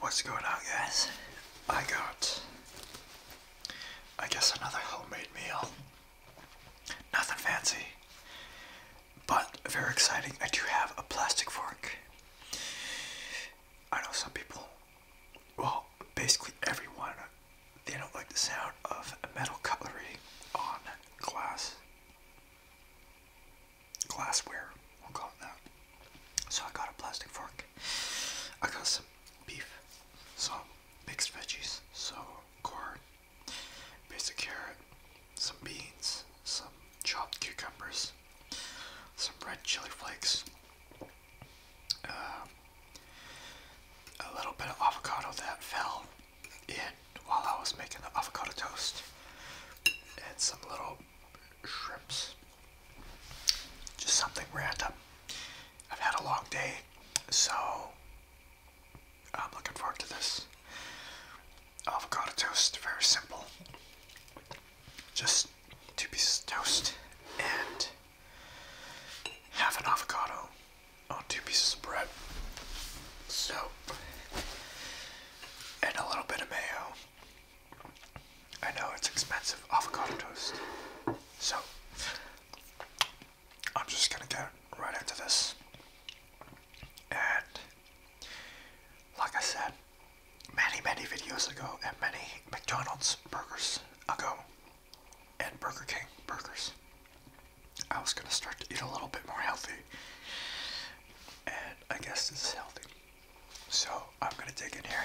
What's going on guys? I got, I guess another homemade meal. Nothing fancy, but very exciting. I do have a plastic fork. I know some people, well, basically everyone, they don't like the sound of metal cutlery on glass glassware, we'll call it that. So I got a plastic fork. I got some beef, some mixed veggies, so corn, basic carrot, some beans, some chopped cucumbers, some red chili flakes, uh, a little bit of avocado that fell in while I was making the avocado toast and some little shrimps. Just something random. I've had a long day, so I'm looking forward to this. Avocado toast, very simple. Just two pieces of toast and half an avocado on oh, two pieces of bread, so and a little bit of mayo. I know it's expensive avocado toast, so I'm just gonna get right into this. And like I said, many many videos ago, and many McDonald's burgers ago, and Burger King burgers. I was gonna start to eat a little bit more healthy, and I guess this is healthy. So I'm gonna dig in here.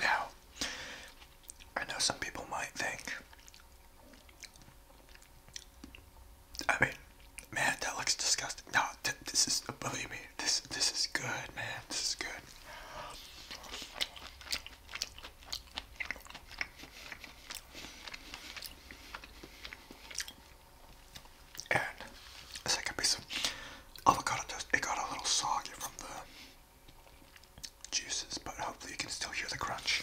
Now, I know some people might think, I mean, man, that looks disgusting. No, this is, believe me, this this is good, man. This is good. And the second piece of avocado toast, it got a little soggy from the juices, but hopefully you can still hear the crunch.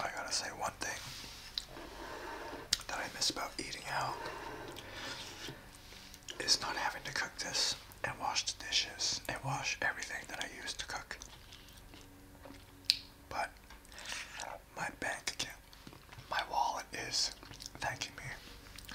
I gotta say one thing that I miss about eating out is not having to cook this and wash the dishes and wash everything that I used to cook. But my bank account, my wallet is thanking me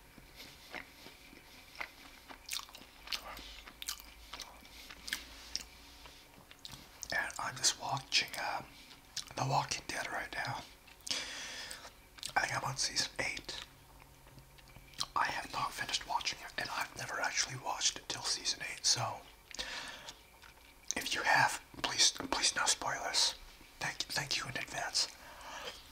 I'm just watching um, The Walking Dead right now. I think I'm on season 8. I have not finished watching it, and I've never actually watched it till season 8, so if you have, please please no spoilers. Thank, thank you in advance.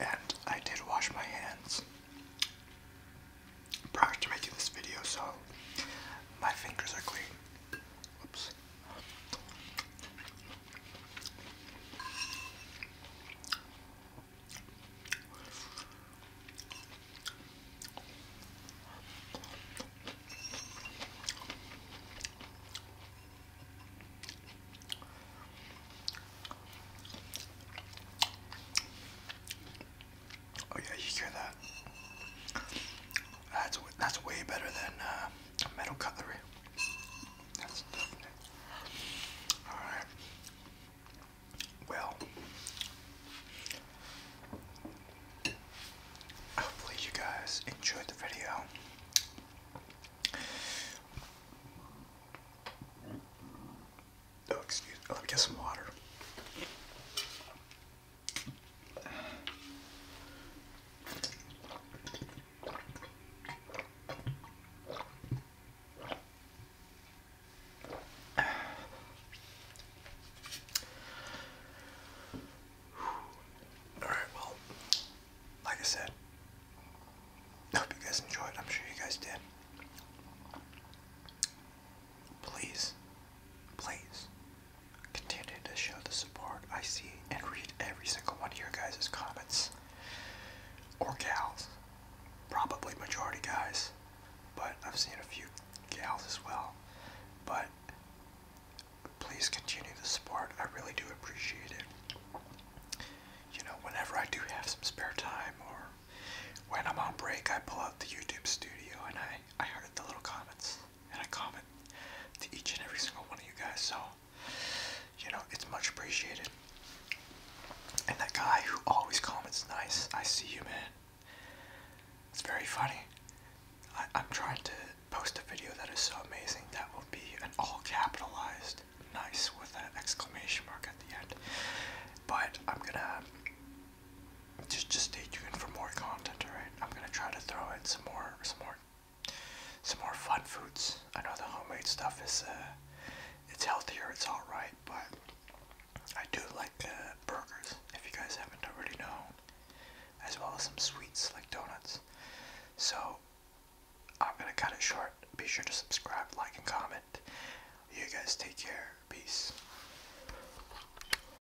And I did wash my hands prior to making this video, so my fingers are clean. Whoops. Oh yeah, you hear that? That's that's way better than uh, metal cutlery. That's definite. Alright. Well, hopefully, you guys enjoyed the video. Oh, excuse me. Oh, let me get some water. Alright, well, like I said, I hope you guys enjoyed. I'm sure you guys did. Please, please, Continue to show the support. I see and read every single one of your guys' comments. Or gals. Probably majority guys. But I've seen a few gals as well. But please continue the support. I really do appreciate it. You know, whenever I do have some spare time or when I'm on break, I pull out the YouTube studio and I, I heard the little comments and I comment to each and every single one of you guys. So, you know, it's much appreciated. And that guy who always comments nice, I see you, man. It's very funny. I, I'm trying to post a video that is so amazing that will be an all capitalized nice with an exclamation mark at the end. But I'm gonna just just stay tuned for more content. All right, I'm gonna try to throw in some more some more some more fun foods. I know the homemade stuff is uh, it's healthier, it's all right, but I do like uh, burgers. If you guys haven't already known, as well as some sweets like donuts. So I'm gonna cut it short. Be sure to subscribe, like, and comment. You guys take care. Peace.